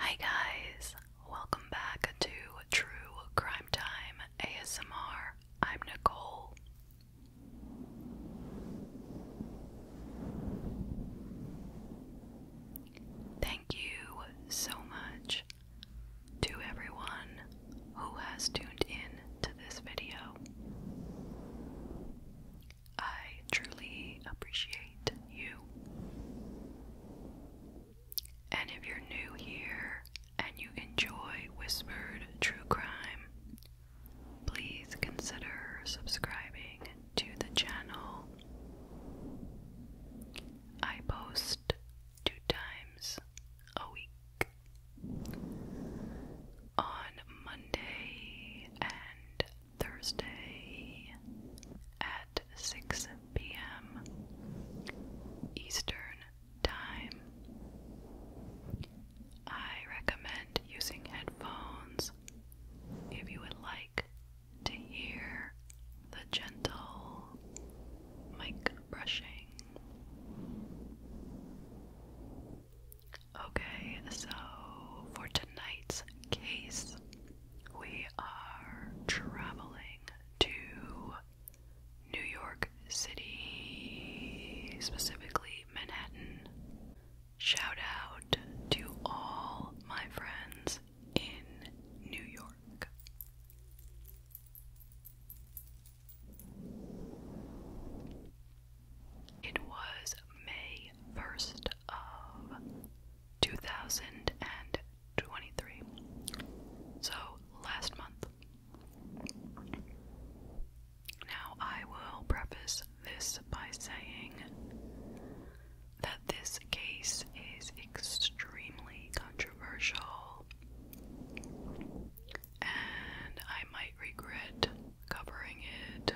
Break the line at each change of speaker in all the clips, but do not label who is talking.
Hi guys, welcome back to True Crime Time ASMR. I'm Nicole. Thank you so much to everyone who has tuned in to this video. I truly appreciate you. And if you're new here and you enjoy Whispered True Crime, please consider subscribing to the channel. I post two times a week. On Monday and Thursday at 6 p.m. Eastern Time, I recommend using headphones if you would like to hear the gentle mic brushing. Okay, so for tonight's case, we are traveling to New York City, specifically Manhattan. Shout out to all my friends in New York. It was May 1st of 2023. So last month. Now I will preface this by saying that this case is extremely controversial and I might regret covering it,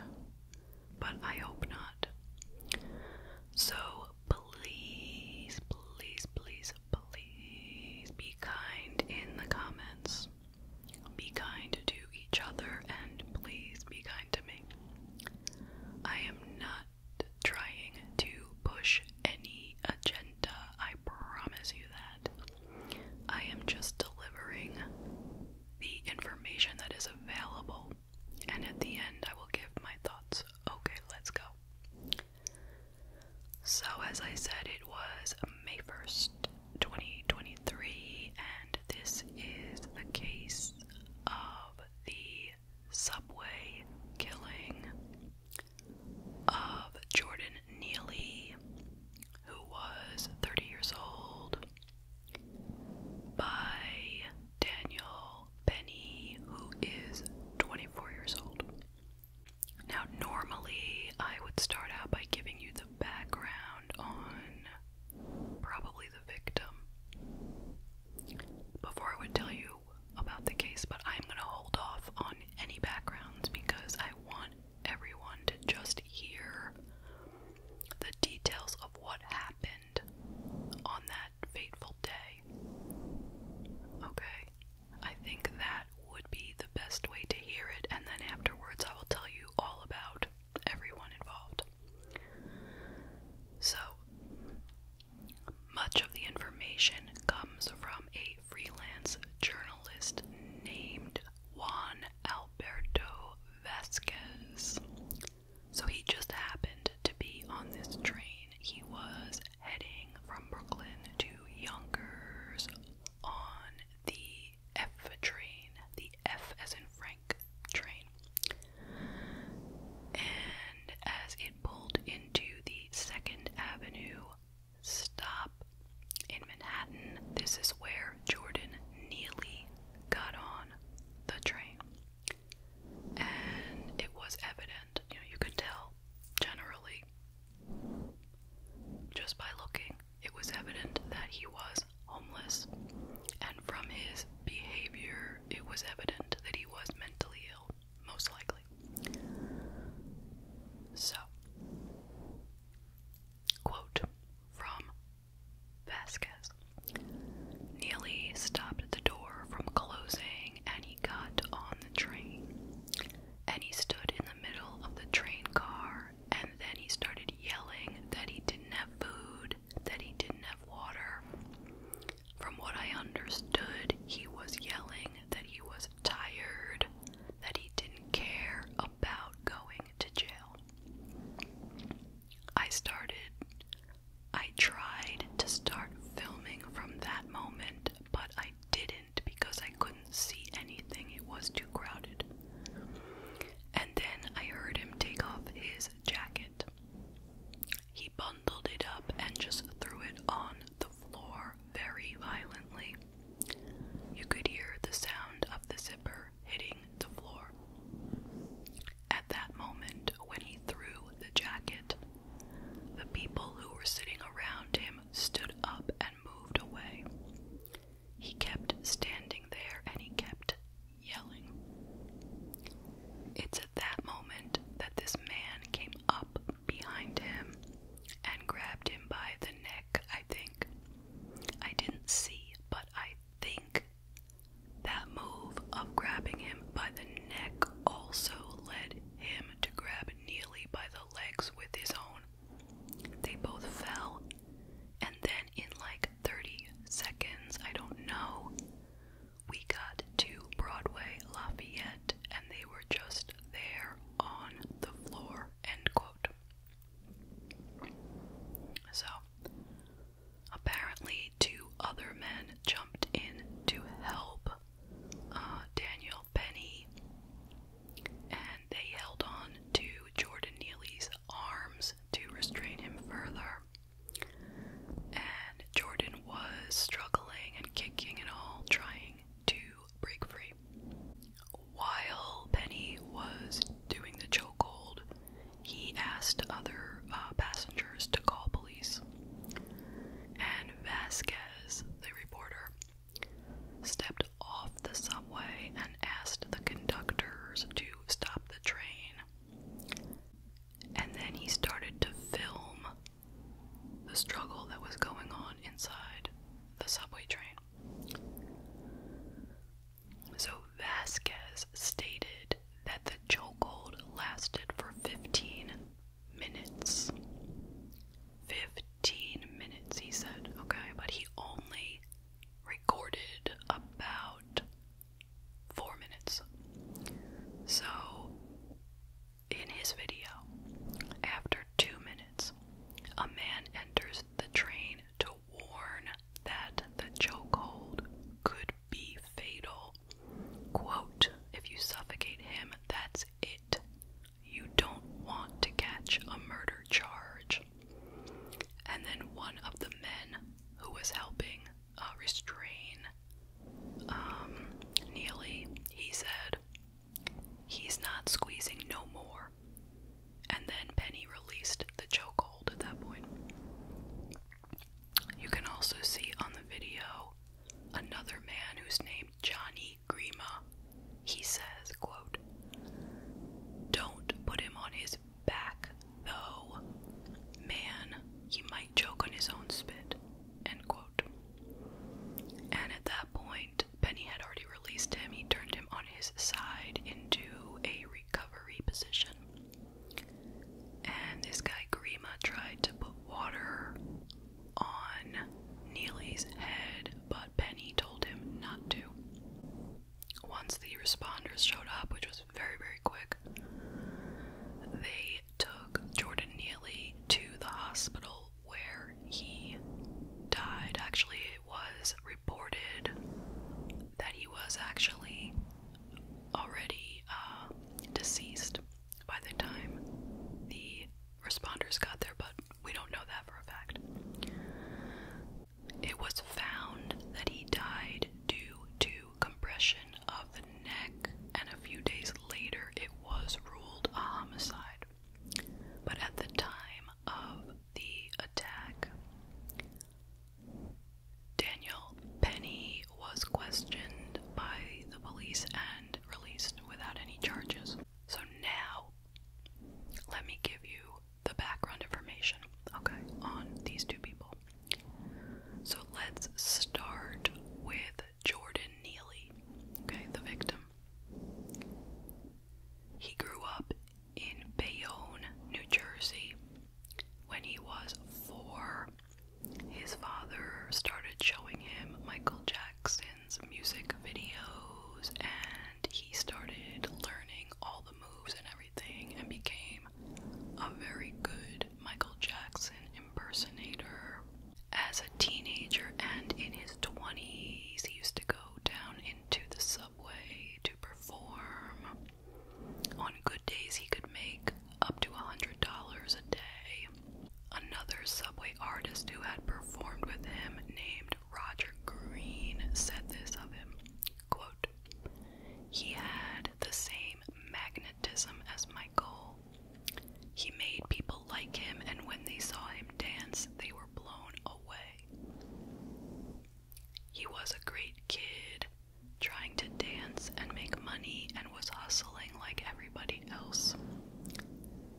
but I hope not. So please, please, please, please be kind in the comments. Be kind to each other and please be kind to me. I am not trying to push any agenda. Uh, I promise you that I am just delivering the information that is available, and at the end, I will give my thoughts. Okay, let's go. So, as I said, it was May 1st, 2023, and this is the case of the subway killing of Jordan Neely, who was 30 years old, by Daniel Penny, who is 24 years old. Now, normally I would start out by giving you the background on probably the victim before I would tell you about the case, but I'm going to hold off on any backgrounds because I want everyone to just hear the details of what happened on that fateful day. Okay? I think that would be the best way to hear it, and then afterwards I will tell you all about everyone involved. So, much of the information comes from a freelance journalist named Juan Alberto Vasquez. So he just happened to be on this train. He was heading from Brooklyn to Yonkers on the F train, the F as in Frank train. And as it pulled into the Second Avenue stop in Manhattan. This is where Jordan Neely got on the train. And it was evident, you know, you could tell generally just by looking, it was evident that he was homeless. And from his behavior, it was evident that he was mentally ill most likely. So, quote from Vasquez Neely stopped the door from closing and he got on the train. And he stood in the middle of the train car and then he started yelling that he didn't have food, that he didn't have water. From what I understood, he was yelling that he was tired, that he didn't care about going to jail. I started, I tried to start filming from that moment, but I didn't because I couldn't see anything, it was too crowded. And then I heard him take off his jacket. He bundled it up and just threw it on the floor very violently. You could hear the sound of the zipper hitting the floor. At that moment, when he threw the jacket, the people who were sitting around him stood up and moved away. He kept standing there and he kept yelling. It's at that moment that this man came up behind him and grabbed him by the neck, I think. I didn't see, but I think that move of grabbing him by the neck also led him to grab Neely by the legs with his own. They both fell, and then in like 30 seconds, I don't know, we got to Broadway Lafayette and they were just there on the floor, end quote. So, apparently, two other men jumped in to help uh, Daniel Penny, and they held on to Jordan Neely's arms to restrain him further. And Jordan was struggling and kicking and all, trying to break free. While Penny was doing the chokehold, he asked other uh, passengers to call police. And Vasquez, the reporter, stepped off the subway and asked the conductors to stop the train. And then he started to film the struggle that was going on inside the subway train. So Vasquez stated that the chokehold lasted for 15 minutes. 15 minutes, he said, okay, but he only recorded about four minutes. So in his video, after two minutes, a man enters the train to warn that the chokehold could be fatal. Quote, if you suffocate him, that's it. You don't want to catch a murder charge. And then one of the men who was helping uh, restrain um, Neely, he said, He's not squeezing no more. And then Penny released the chokehold at that point. You can also see on the video another man who's named Johnny Grima. He says, quote, Don't put him on his back, though. Man, he might choke on his own spit, end quote. And at that point, Penny had already released him. He turned him on his side into a recovery position. And this guy, Grima, tried to put water on Neely's head, but Penny told him not to. Once the responders showed up, which was very, very quick, they took Jordan Neely to the hospital where he died. Actually, it was reported that he was actually already uh, deceased by the time the responders got there, but we don't know that for a fact. It was found that he died due to compression of the neck, and a few days later, it was ruled a homicide. But at the time of the attack, Daniel Penny was questioned by the police and released without any charges. So now, let me give you the background information, okay, on these two people. So let's start with Jordan Neely, okay, the victim. He grew up in Bayonne, New Jersey. When he was four, his father started showing him Michael Jackson's music videos and he started learning all the moves and everything and became a very good Michael Jackson impersonator. As a teenager and in his 20s, he used to go down into the subway to perform. On good days, he could make up to $100 a day. Another subway artist who had performed with him, named Roger Green, said this of him quote, He had the same magnetism as Michael. He made people like him, and when they saw him dance, they were blown away. He was a great kid, trying to dance and make money, and was hustling like everybody else.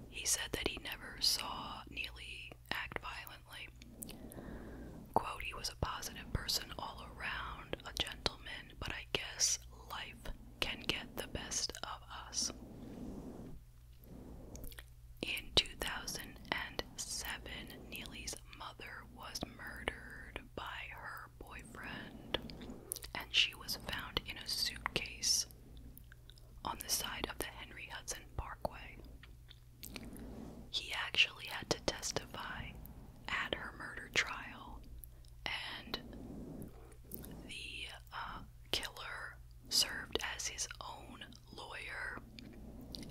He said that he never saw Neely act violently. Quote, he was a positive person all around, a gentleman, but I guess life can get the best of us. In 2007, Neely's mother was murdered by her boyfriend, and she was found in a suitcase on the side of the Henry Hudson Parkway. He actually had to testify at her murder trial, and the uh, killer served as his own lawyer,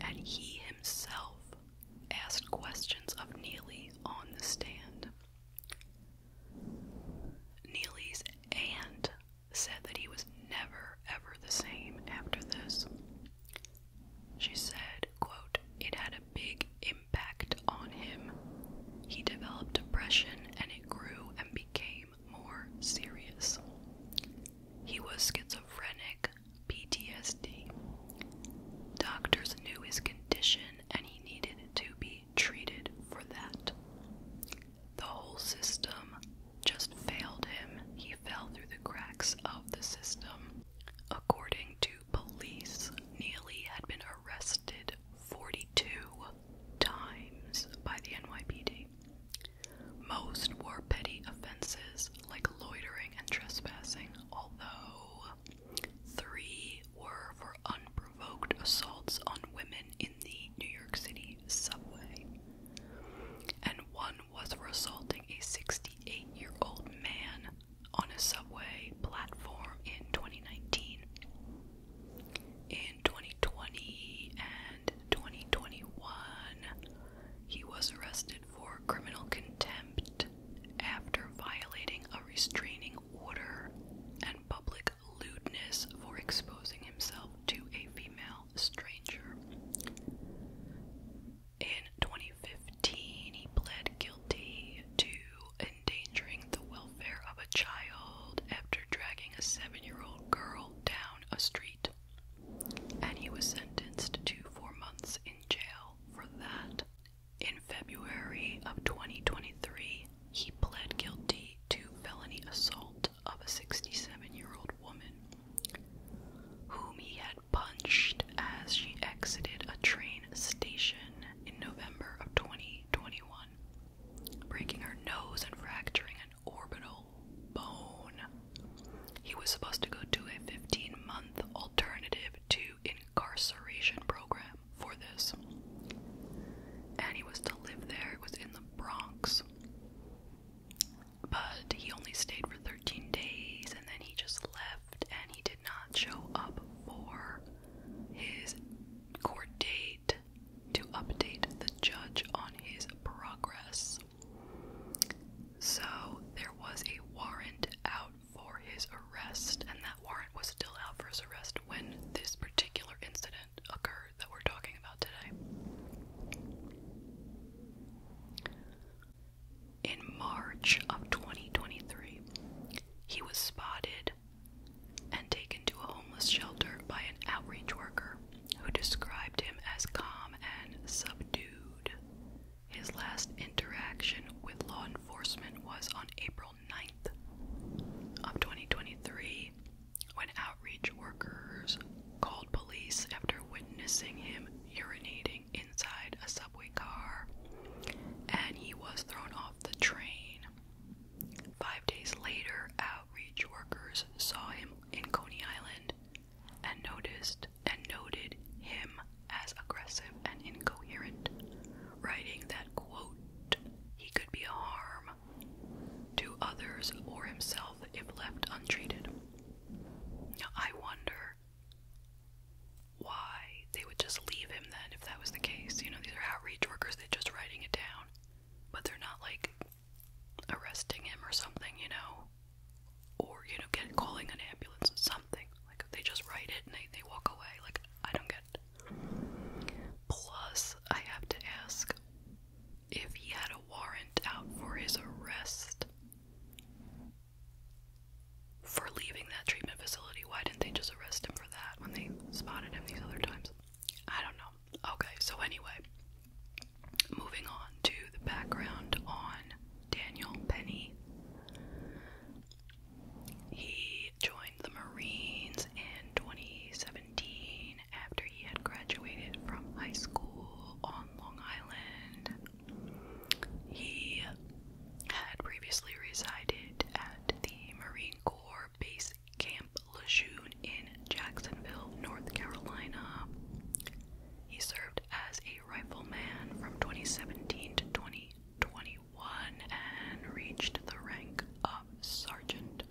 and he himself asked questions of Neely on the stand. Neely's aunt said that he was never ever the same after this. She said, quote, It had a big impact on him. He developed depression and it grew and became more serious. He was schizophrenic, PTSD. Doctors knew his condition and he needed to be treated for that. The whole system just failed him. He fell through the cracks of the system. According to police, Neely had been arrested 42 times by the NYPD. Most were petty offenses like loitering and trespassing, although three were for unprovoked assaults on women in the New York City subway, and one was for assaulting a 68 year old man on a subway platform in 2019 in 2020 and 2021. He was arrested for criminal contempt after violating a restraining order and public lewdness for exposing himself to a female stranger. In 2015, he pled guilty to endangering the welfare of a child after dragging a seven year old girl down a street and he was sentenced to four months in jail for that. In February of 2023, he pled guilty to felony assault of a 67 year old woman whom he had punched as she exited a train station in November of 2021, breaking her nose and fracturing orbital bone. He was supposed to go to a 15 month alternative to incarceration program for this. And he was to live there, it was in the Bronx. But he only stayed for 13 days and then he just left and he did not show up for his court date to update the judge on his progress. So there was a warrant out for his arrest, and that warrant was still out for his arrest when this particular incident occurred that we're talking about today. In March of 2023, he was spotted and taken to a homeless shelter by an outreach worker who described him as calm and subdued. His last interaction with law enforcement was on April 9th of 2023 when outreach workers called police after witnessing him urinating inside a subway car and he was thrown off the train. Five days later, outreach workers saw him in Coney Island and noticed and noted him as aggressive and incoherent, writing that, quote, he could be a harm to others or himself if left untreated. I wonder why they would just leave him then if that was the case. You know, these are outreach workers, they're just writing it down, but they're not like arresting him or something, you know, or you know, get calling an ambulance or something. Like they just write it and they they walk away. Like I don't get. It. Plus, I have to ask if he had a warrant out for his arrest for leaving that treatment facility. Why didn't they just arrest him for that when they spotted him these other times? I don't know. Okay, so anyway, moving on to the background on Daniel Penny. He joined the Marines in 2017 after he had graduated from high school on Long Island. He had previously resided at the Marine Corps Base Camp Lejeune in Jacksonville, North Carolina. He served as a rifleman from 2017 to 2021 and reached the rank of sergeant.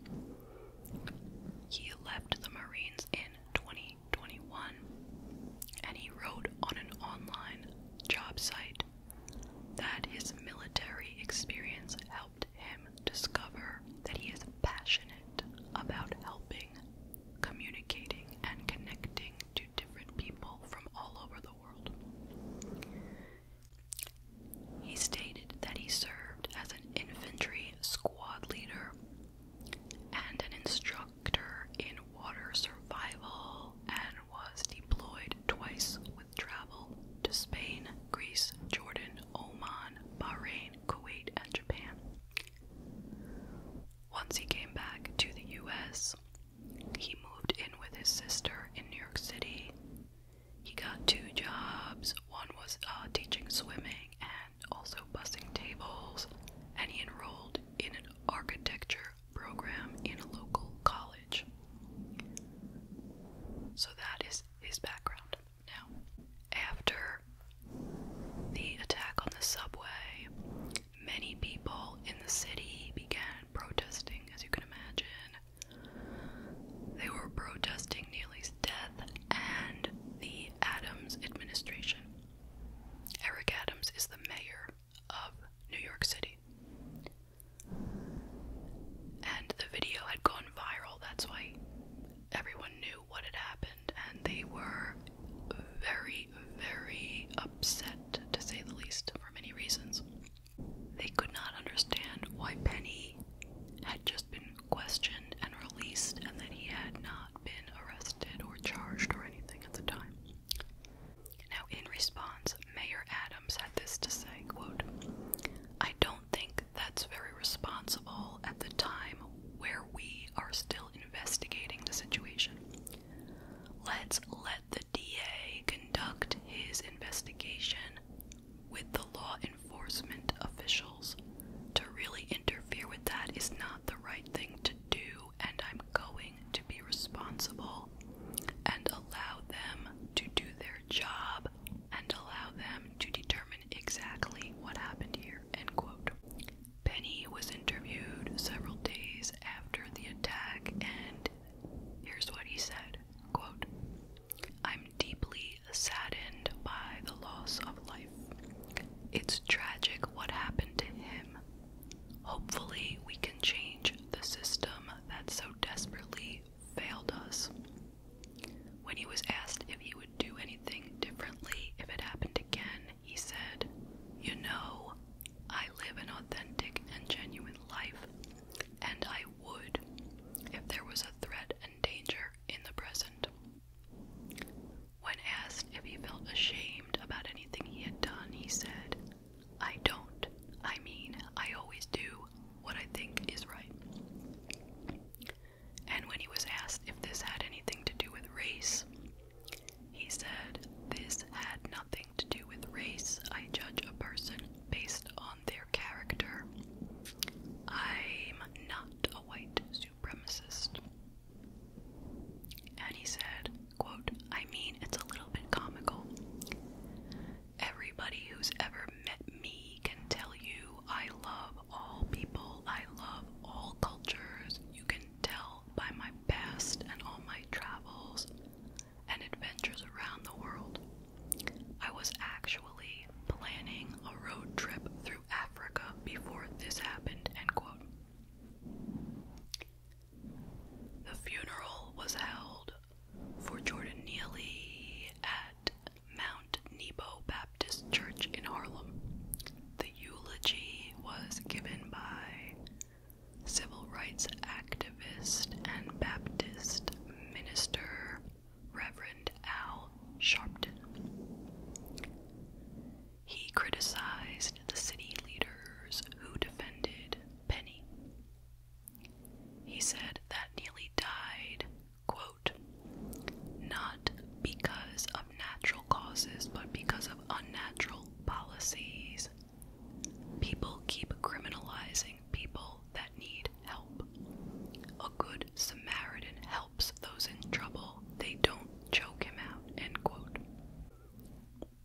He left the Marines in 2021 and he wrote on an online job site that his military experience helped him discover that he is passionate about helping, communicating, and connecting to different people from all over the world. He stated that he served as an infantry squad leader and an instructor in water survival and was deployed twice with travel to Spain, Greece, Jordan, Oman, Bahrain, Kuwait, and Japan. Once he came back to the US, he moved in with his sister in New York City. He got two jobs. One was uh, teaching swimming and also bussing tables, and he enrolled in an architecture program in a local college. So that is his background. Now, after the attack on the subway, many people in the city began protesting, as you can imagine. They were protesting Neely's death and the Adams administration. Eric Adams is the mayor of New York City. And the video had gone viral, that's why everyone knew what had happened and they were very, very upset, to say the least, for many reasons. They could not understand why Penny had just been questioned and released and that he had not been arrested or charged or anything at the time. Now, in response, Mayor Adams had this to say, quote, I don't think that's very responsible at the time where we are still investigating the situation. Let's let the DA conduct his investigation with the law enforcement officials. To really interfere with that is not the right thing to do, and I'm going to be responsible and allow them to do their job and allow them to determine exactly what happened here. End quote. Penny was interviewed several days after the attack, and here's what he said: quote, I'm deeply saddened by the loss of life. It's tragic what happened to him. Hopefully, we can change the system that so desperately failed us. When he was asked if he would do anything differently if it happened again, he said, You know, I live an authentic and genuine life, and I would if there was a threat and danger in the present. When asked if he felt ashamed about anything he had done, he said, I don't. I mean, I always do what I think is right. And when he was asked if this had anything to do with race, he said, This had nothing to do with race. I judge a person based on their character. I'm not a white supremacist. And he said, quote, I mean, it's a little bit comical. Everybody who's ever met me can tell you I love all people, I love all cultures. You can tell by my past and all my travels and adventures around the world. I was actually planning a road trip through Africa before this happened, end quote. The funeral was held for Jordan Neely at Mount Nebo Baptist Church in Harlem. The eulogy was given by civil rights activist and Baptist minister Reverend Al Sharpton. He criticized the city leaders who defended Penny. He said that Neely died, quote, not because of natural causes, but because of unnatural policies. People keep criminalizing people that need help. A good Samaritan helps those in trouble, they don't choke him out. End quote.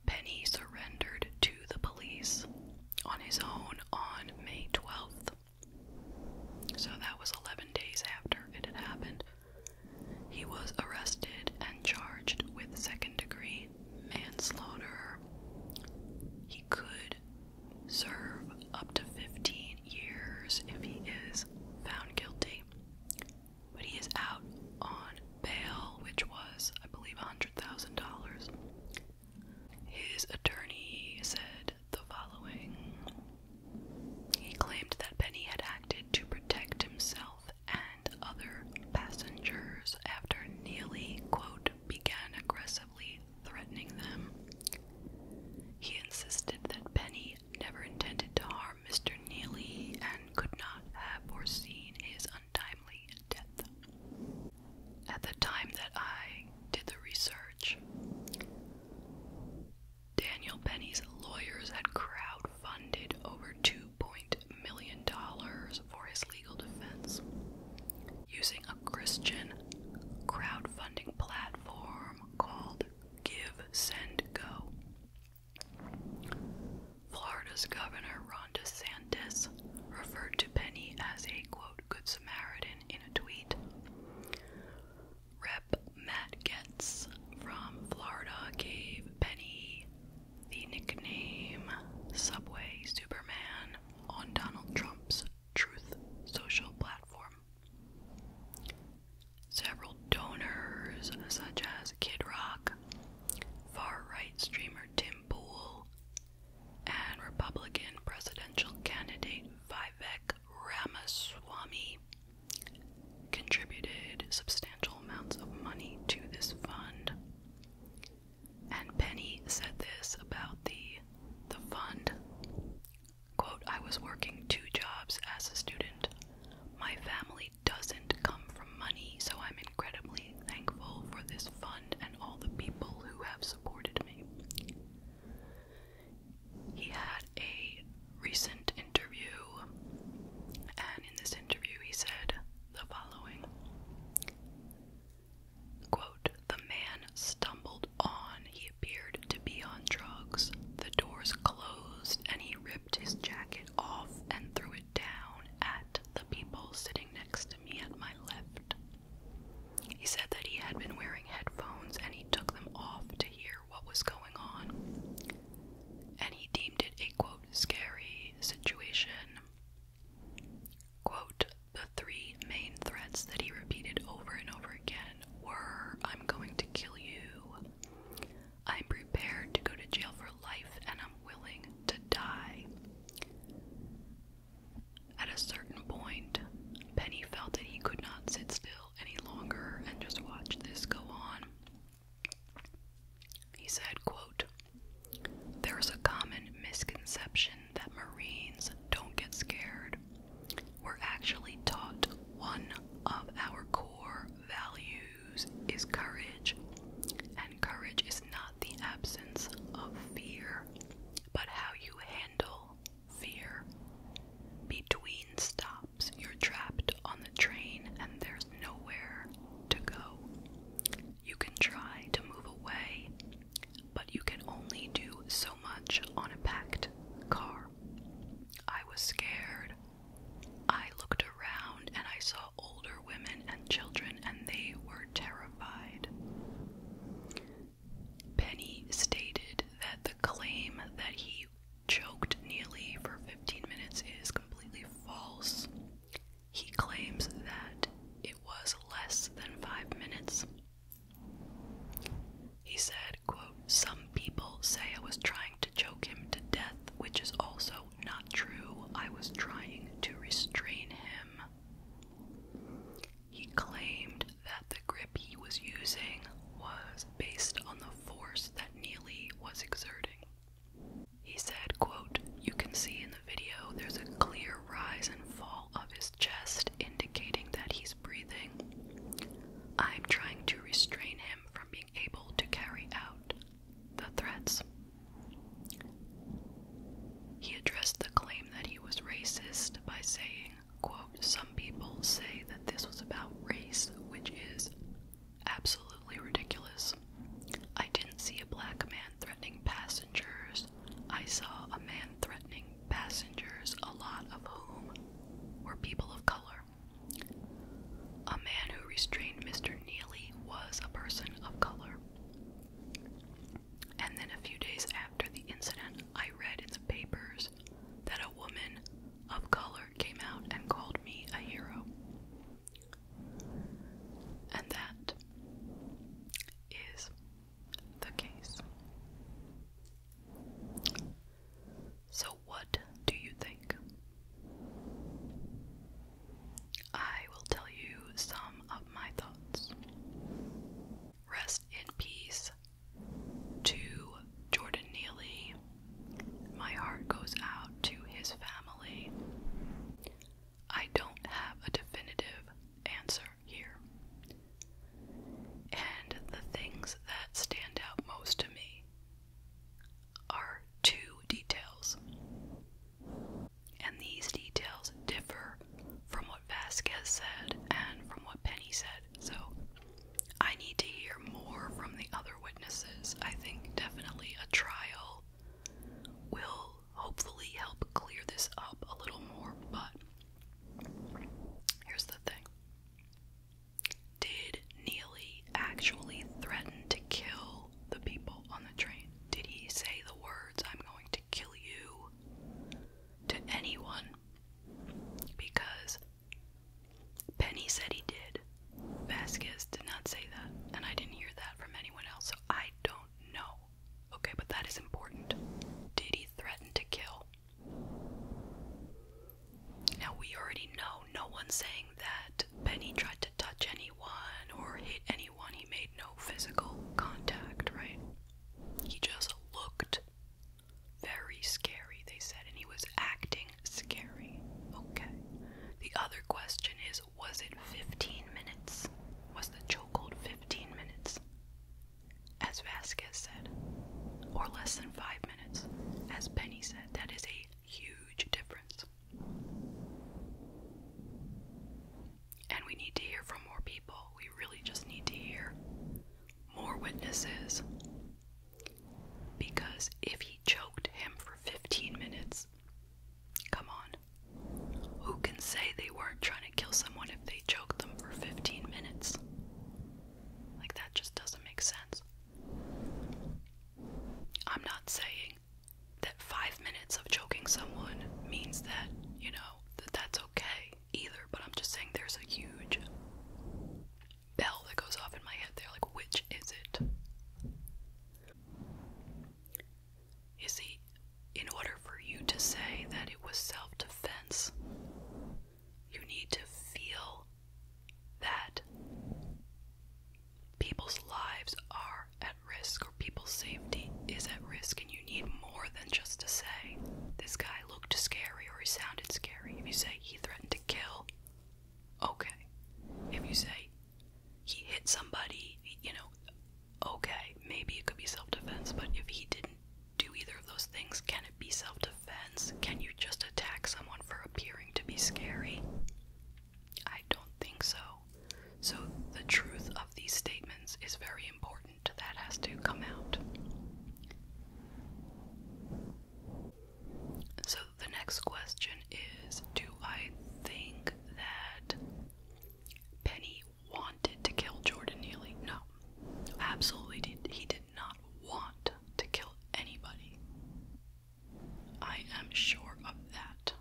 Penny surrendered to the police on his own on May 12th. So that was 11 days after it had happened. He was arrested and charged with second degree manslaughter. He could serve up to 15 years if he is found guilty. But he is out on bail, which was, I believe, $100,000. His attorney said the following he claimed that Penny had acted to protect himself and other passengers after Neely, began aggressively threatening them. He insisted that Penny never intended to harm Mr. Neely and could not have foreseen his untimely death. At the time that I did the research, Daniel Penny's lawyers had crowdfunded over $2 million for his legal defense. Using a Christian crowdfunding platform called Give, Send, Go. Florida's Governor Ron DeSantis referred to Penny as a quote, Good Samaritan in a tweet. Rep Matt Getz from Florida gave Penny the nickname Subway Superman on Donald Trump's Truth Social platform. Several donors, such as Kid Rock, far right streamer Tim Pool, and Republican presidential candidate Vivek Ramaswamy, contributed substantial amounts of money to this fund. And Penny said this about the the fund. Quote, I was working two jobs as a student. My family doesn't come from money, so I'm incredibly thankful for this fund and all the people who have supported me. He had a recent interview, and in this interview, he said the following quote, The man stumbled on. He appeared to be on drugs. The doors closed, and he ripped his jacket off and threw it down at the people sitting next to me at my left. He said that he had been wearing headphones and he took them off to hear what was going on, and he deemed it a quote scary situation. Quote, the three main threats that he repeated over and over again were I'm going to kill you, I'm prepared to go to jail for life, and I'm willing to die. At a certain point, Penny felt that he could not sit still any longer and just watch this go on. He said, quote, There's a common misconception that Marines don't get scared. We're actually taught one of our core values is courage, and courage is not the absence of fear, but how you handle fear. Between stop you're trapped on the train and there's nowhere to go. You can try to move away, but you can only do so much on a packed car. I was scared. I looked around and I saw older women and children, and they were terrified. Penny stated that the claim that he choked Neely for 15 minutes is completely false. He claims that it was less than five minutes. He said, quote, Some people say I was trying to choke him to death, which is also not true. I was trying to restrain him. He claimed that the grip he was using was based on the force that Neely was exerting. He said, quote, You can see in the video there's a clear rise and fall of his chest indicating that he's breathing. I'm trying to restrain him from being able to carry out the threats. He addressed the claim that he was racist by saying, quote, Some people say that this was about race, which is absolutely ridiculous. I didn't see a black man threatening passengers. I saw a man threatening passengers, a lot of whom were people of color. A man who restrained Mr. Neely was a person of color. And then a few days after the incident, I read in the papers that a woman of color came out and called me a hero. And that is the case. So, what do you think? I will tell you some of my thoughts. Rest in peace to Jordan Neely my heart goes out to his family. I don't have a definitive answer here. And the things that stand out most to me are two details. And these details differ from what Vasquez said and from what Penny said. So I need to hear more from the other witnesses. I think definitely a trial will hopefully help clear this up a little more, but here's the thing. Did Neely actually threaten to kill the people on the train? Did he say the words, I'm going to kill you, to anyone? Because Penny said he did. Vasquez did not say that, and I didn't hear that from anyone else, so I don't know. Okay, but that is important. Did he threaten to kill? Now, we already know no one's saying that Penny tried to touch anyone or hit anyone. He made no physical contact, right? He just looked very scary, they said, and he was acting scary. Okay. The other question is was it 15 minutes? Was the chokehold 15 minutes? As Vasquez said, or less than five minutes. As Penny said, that is a huge difference. And we need to hear from more people. We really just need to hear more witnesses. Because if he choked him for 15 minutes, come on. Who can say they weren't trying to kill someone if they choked them for 15 minutes? Like, that just doesn't make sense. I'm not saying that five minutes of choking someone means that, you know, that that's okay either, but I'm just saying there's a huge bell that goes off in my head there. Like, which is it? You see, in order for you to say that it was self defense, you need to feel that people's lives are at risk or people's safety is at risk, and you need more than just to say, This guy looked scary or he sounded scary. If you say he threatened to kill, okay. If you say he hit somebody, you know, okay, maybe it could be self defense, but if he didn't do either of those things, can it be self defense? Can you just attack someone for appearing to be scary? I don't think so. So, the truth of these statements is very important. That has to come out. So, the next question is Do I think that Penny wanted to kill Jordan Neely? No. Absolutely, did. he did not want to kill anybody. I am sure of that.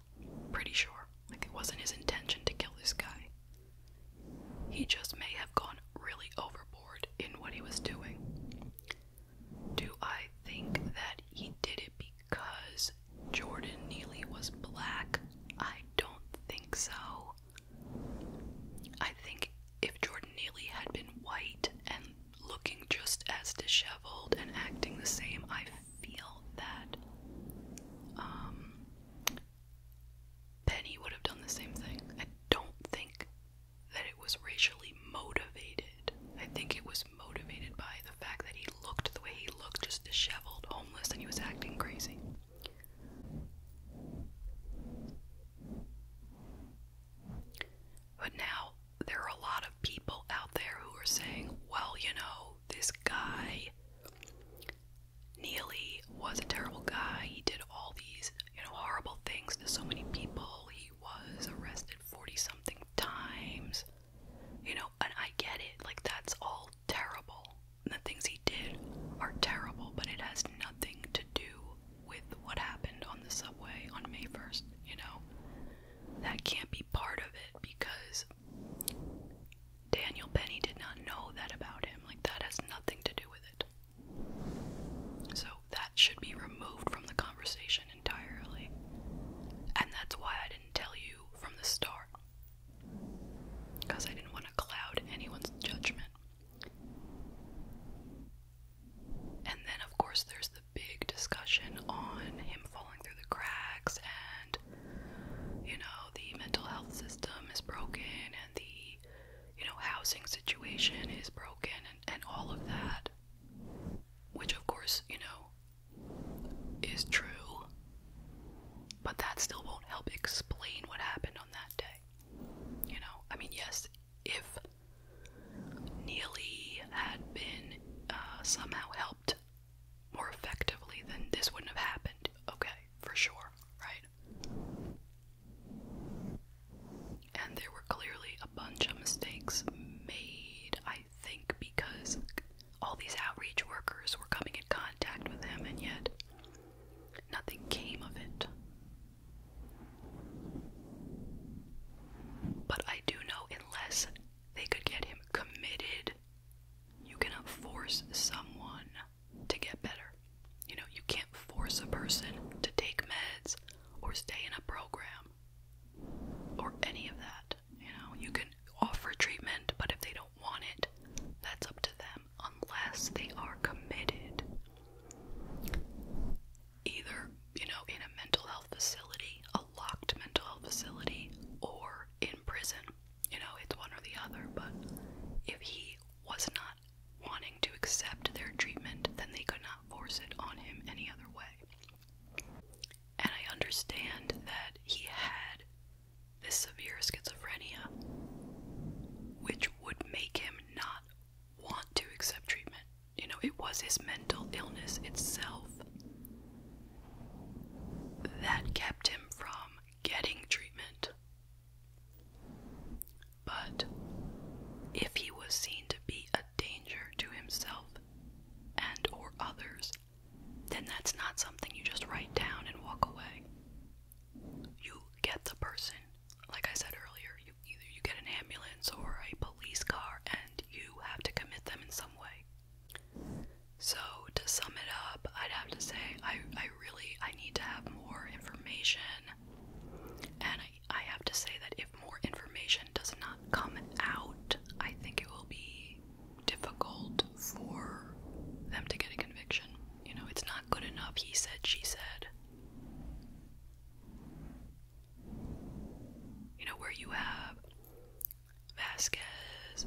Pretty sure. Like, it wasn't his intention to kill this guy. He just may have gone really overboard in what he was doing. Do I think that he did it because Jordan Neely was black? I don't think so. I think if Jordan Neely had been white and looking just as disheveled and acting the same, I feel that um, Penny would have done the same thing. I don't think that it was racially motivated. I think it was motivated by the fact that he looked the way he looked, just disheveled, homeless, and he was acting crazy. But now there are a lot of people out there who are saying, well, you know, this guy, Neely, was a terrible guy. He did all these, you know, horrible things to so many people. He was arrested 40 something times. You know, and I get it. Like, that's all terrible. And the things he did are terrible, but it has nothing to do with what happened on the subway on May 1st, you know? That can't be part of it because Daniel Penny did not know that about him. Like, that has nothing to do with it. So, that should be removed from the conversation entirely. And that's why I didn't tell you from the start. Because I didn't want to cloud anyone's judgment. And then, of course, there's the big discussion on him falling through the cracks, and you know, the mental health system is broken, and the you know, housing situation is broken, and, all of that which of course, you know, is true, but that still won't help explain what happened on that day. You know, I mean, yes, if Neely had been uh, somehow helped more effectively, then this wouldn't have happened. Okay, for sure, right? and there were clearly a bunch of mistakes made, I think, because all these outreach workers were coming in contact with him, and yet nothing came of it. But I do know, unless they could get him committed, you cannot force someone to get better. You know, you can't force a person to take meds or stay in a program or any of that. You know, you can offer treatment, but if they don't want it, that's up to them unless they are committed. Either, you know, in a mental health facility, a locked mental health facility, or in prison. You know, it's one or the other, but if he was not wanting to accept their treatment, then they could not force it on him any other way. And I understand that he had this severe schizophrenia, which would make him not want to accept treatment. You know, it was his mental illness itself that kept him from getting treatment. But if he was seen to be a danger to himself and or others, then that's not something you just write down and walk away. You get the person, like I said earlier, you either you get an ambulance or a police car and you have to commit them in some way. So to sum it up, I'd have to say I I really I need to have more information and I, have to say that if more information does not come out, I think it will be difficult for them to get a conviction. You know, it's not good enough, he said, she said. You know, where you have Vasquez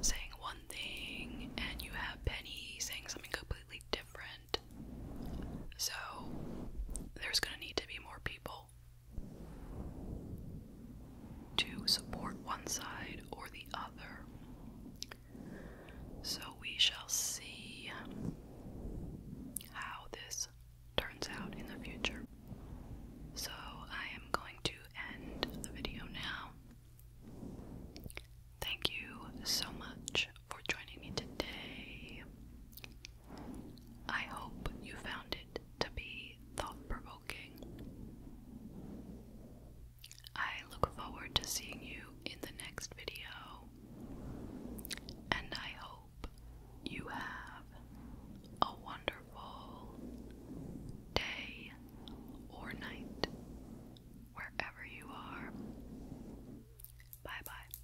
saying one thing and you have Penny saying something completely different. So, there's gonna need to be more people to support one side or the other. So we shall see how this turns out in the future. So I am going to end the video now. Thank you so much for joining me today. I hope you found it to be thought provoking. I look forward to seeing you in the next video, and I hope you have a wonderful day or night wherever you are. Bye bye.